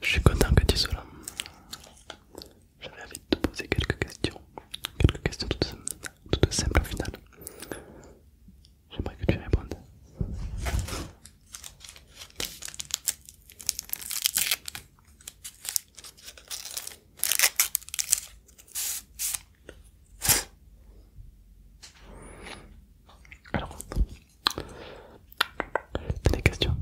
Je suis content que tu sois là. J'avais envie de te poser quelques questions, quelques questions toutes, simples au final. J'aimerais que tu répondes. Alors, des questions.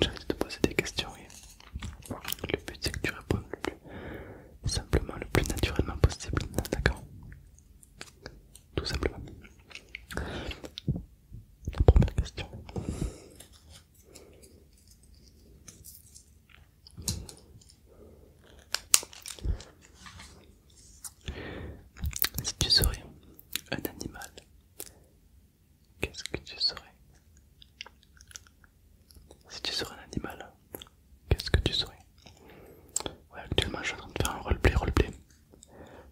J'arrête de te poser des questions. Oui. Le but c'est que tu répondes le plus simplement, le plus naturellement possible. D'accord Tout simplement. La première question. Si tu serais un animal, qu'est-ce que tu serais Si tu serais un animal, qu'est-ce que tu serais Ouais, actuellement je suis en train de faire un roleplay, roleplay.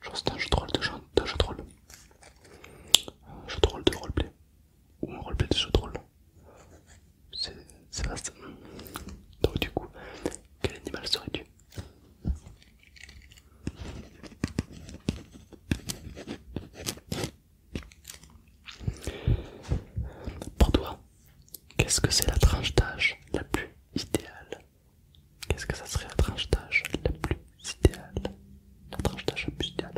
Genre c'est un jeu de rôle de jeu, de jeu de rôle. Un jeu de rôle de roleplay. Ou un roleplay de jeu de rôle c'est vaste. Donc du coup, quel animal serais-tu Pour toi, qu'est-ce que c'est la tranche d'âge la plus idéale Qu'est-ce que ça serait la tranche d'âge la plus idéale La tranche d'âge la plus idéale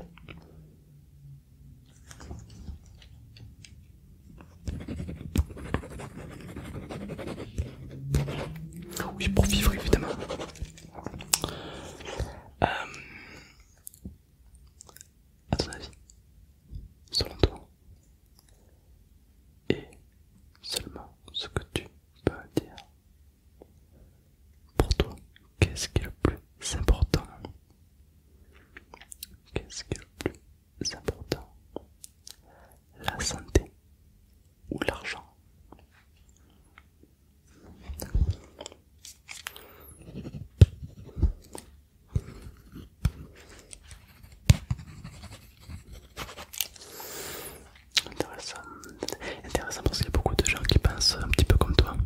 oui, pour vivre évidemment. Euh, à ton avis, selon toi, et seulement ce que tu peux dire. Pour toi, Qu'est-ce qui est le plus important Qu'est-ce qui est le plus important La santé ou l'argent Intéressant. Intéressant parce qu'il y a beaucoup de gens qui pensent un petit peu comme toi.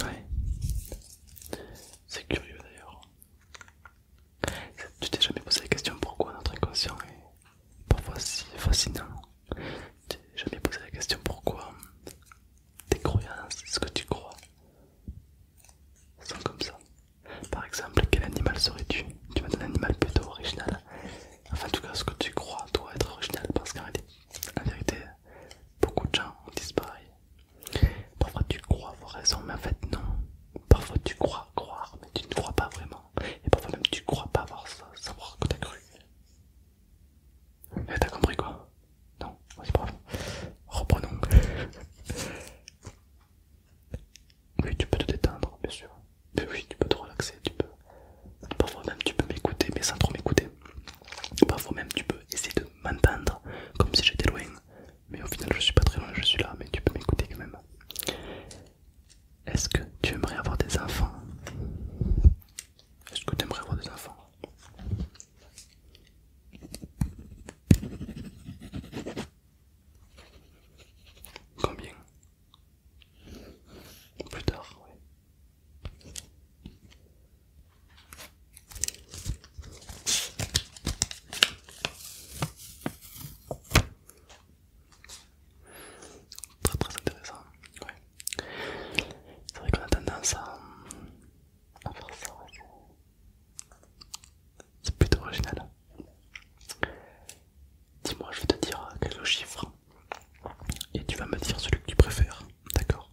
Ouais. C'est curieux d'ailleurs. Tu t'es jamais posé la question pourquoi notre inconscient est parfois si fascinant. Tu t'es jamais posé la question pourquoi tes croyances, ce que tu crois, sont comme ça. Par exemple, quel animal serais-tu Tu m'as un animal plutôt original. Enfin, en tout cas, ce que tu crois doit être original parce qu'en réalité, beaucoup de gens ont disparu. Parfois tu crois avoir raison, mais en fait non. Parfois tu crois croire, mais tu ne crois pas vraiment. Et parfois même tu crois pas avoir ça, savoir que t'as cru. tu eh, t'as compris quoi Non, Vas-y Reprenons. Oui, tu peux te détendre, bien sûr. Mais oui, tu peux te relaxer, tu peux. Parfois même tu peux m'écouter, mais sans trop m'écouter. Parfois même tu peux essayer de m'entendre comme si j'étais loin, mais au final je suis pas très loin, je suis là, mais tu peux m'écouter quand même. Est-ce que tu aimerais avoir des enfants Est-ce que tu aimerais avoir des enfants Combien Plus tard, oui Très très intéressant. Ouais. C'est vrai qu'on a tendance à, faire ça. C'est plutôt original. Dis-moi, je vais te dire quelques chiffres et tu vas me dire celui que tu préfères, d'accord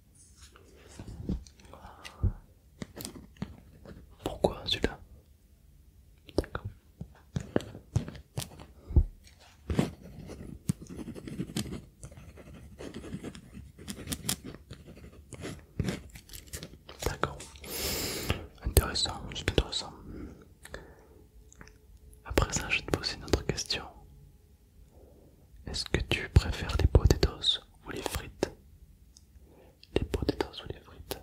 Pourquoi celui-là D'accord. D'accord. Intéressant, c'est intéressant. Après ça, je te pose une autre question. Est-ce que tu préfères les potatoes ou les frites Les potatoes ou les frites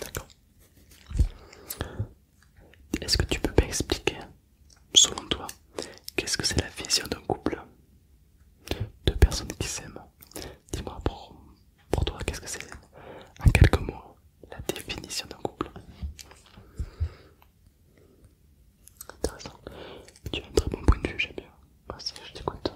D'accord. Est-ce que tu peux m'expliquer, selon toi, qu'est-ce que c'est la vision d'un couple Deux personnes qui s'aiment. Dis-moi pour, pour toi, qu'est-ce que c'est En quelques mots, la définition d'un couple. Intéressant. Tu as un très bon point de vue, j'aime bien. Merci, ah, je t'écoute.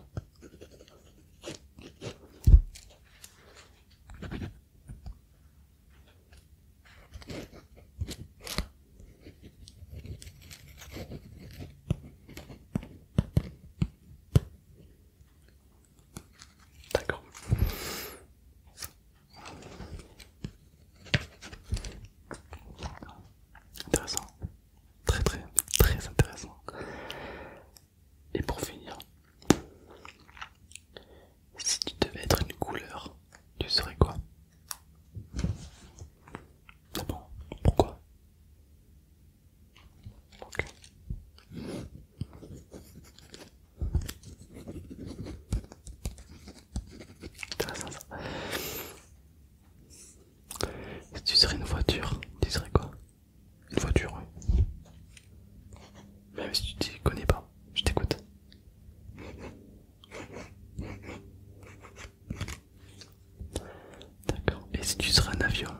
D'accord. Intéressant. Très très très intéressant. Et pour finir, si tu devais être une couleur, tu serais quoi bon Pourquoi Ok. Si tu serais une voiture, tu serais quoi Une voiture, oui. Même si tu ne connais pas, je t'écoute. D'accord. Et si tu serais un avion,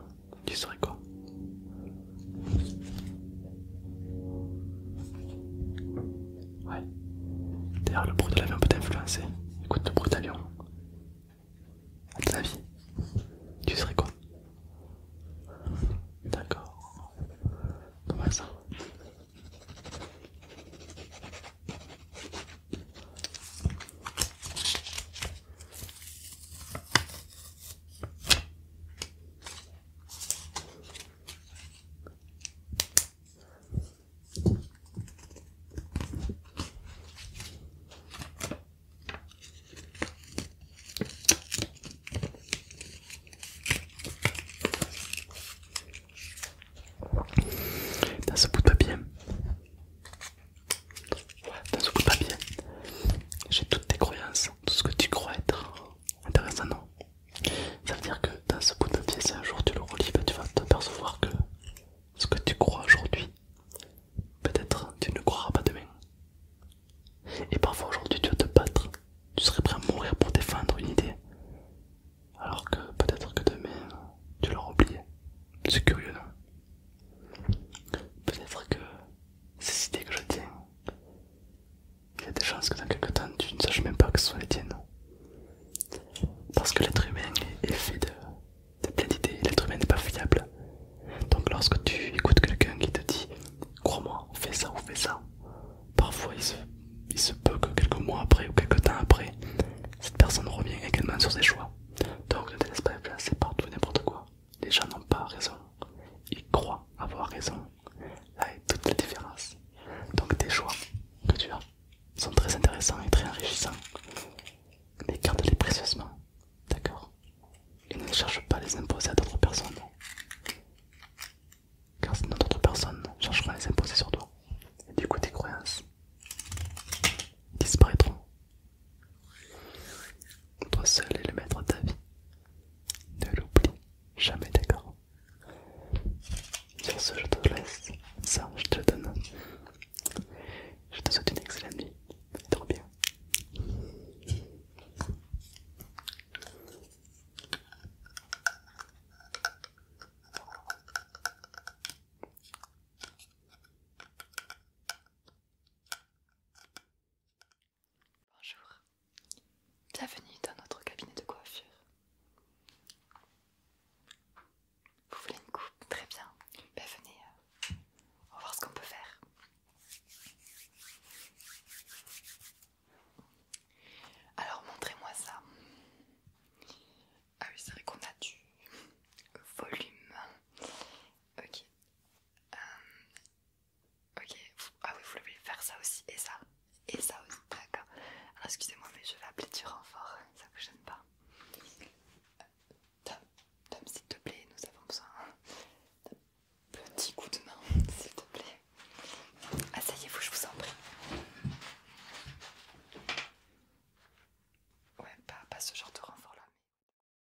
tu serais quoi Ouais. D'ailleurs, le bruit de l'avion peut t'influencer. Écoute le bruit de lion. À ton avis, tu serais quoi D'accord. comment ça. Dans ce bout de papier, dans ce bout de papier, j'ai toutes tes croyances, tout ce que tu crois être, Intéressant, non Ça veut dire que dans ce bout de pied, si un jour tu le relis, bah, tu vas t'apercevoir que ce que tu crois aujourd'hui, peut-être tu ne croiras pas demain. Et parfois aujourd'hui, tu vas te battre, tu serais prêt à mourir pour défendre une idée, alors que peut-être que demain, tu l'auras oublié. C'est curieux, non Peut-être que ces idées que je tiens, il y a des chances que dans quelques temps tu ne saches même pas que ce sont les tiennes. Parce que l'être humain est fait de, plein d'idées, l'être humain n'est pas fiable. Donc lorsque tu écoutes quelqu'un qui te dit crois-moi, fais ça ou fais ça, parfois il se, peut que quelques mois après ou quelques temps après, cette personne revient également sur ses choix. Donc ne te laisse pas influencer partout n'importe quoi les gens n'ont pas raison, ils croient avoir raison. Là est toute la différence. Donc tes choix que tu as sont très intéressants et très enrichissants. Mais garde-les précieusement, d'accord Et ne cherche pas à les imposer à d'autres personnes. Car si d'autres personnes pas à les imposer sur toi. Et du coup tes croyances disparaîtront toi seul est le maître de ta vie. Ne l'oublie jamais, d'accord Sur ce, je te laisse. Ça, je te donne. Je te souhaite une excellente nuit. trop bien. Bonjour, bienvenue dans notre cabinet de coiffure. Vous voulez une coupe Très bien. Ben venez, euh, on va voir ce qu'on peut faire. Alors montrez-moi ça. Ah oui, c'est vrai qu'on a du volume. Ok. Euh, Ok, ah oui, vous voulez faire ça aussi, et ça, et ça aussi, d'accord. Alors excusez-moi, mais je vais appeler du renfort, ça vous gêne pas. Tom, s'il te plaît, nous avons besoin d'un petit coup de main, s'il te plaît. Asseyez-vous, je vous en prie. Ouais, pas, pas ce genre de renfort là.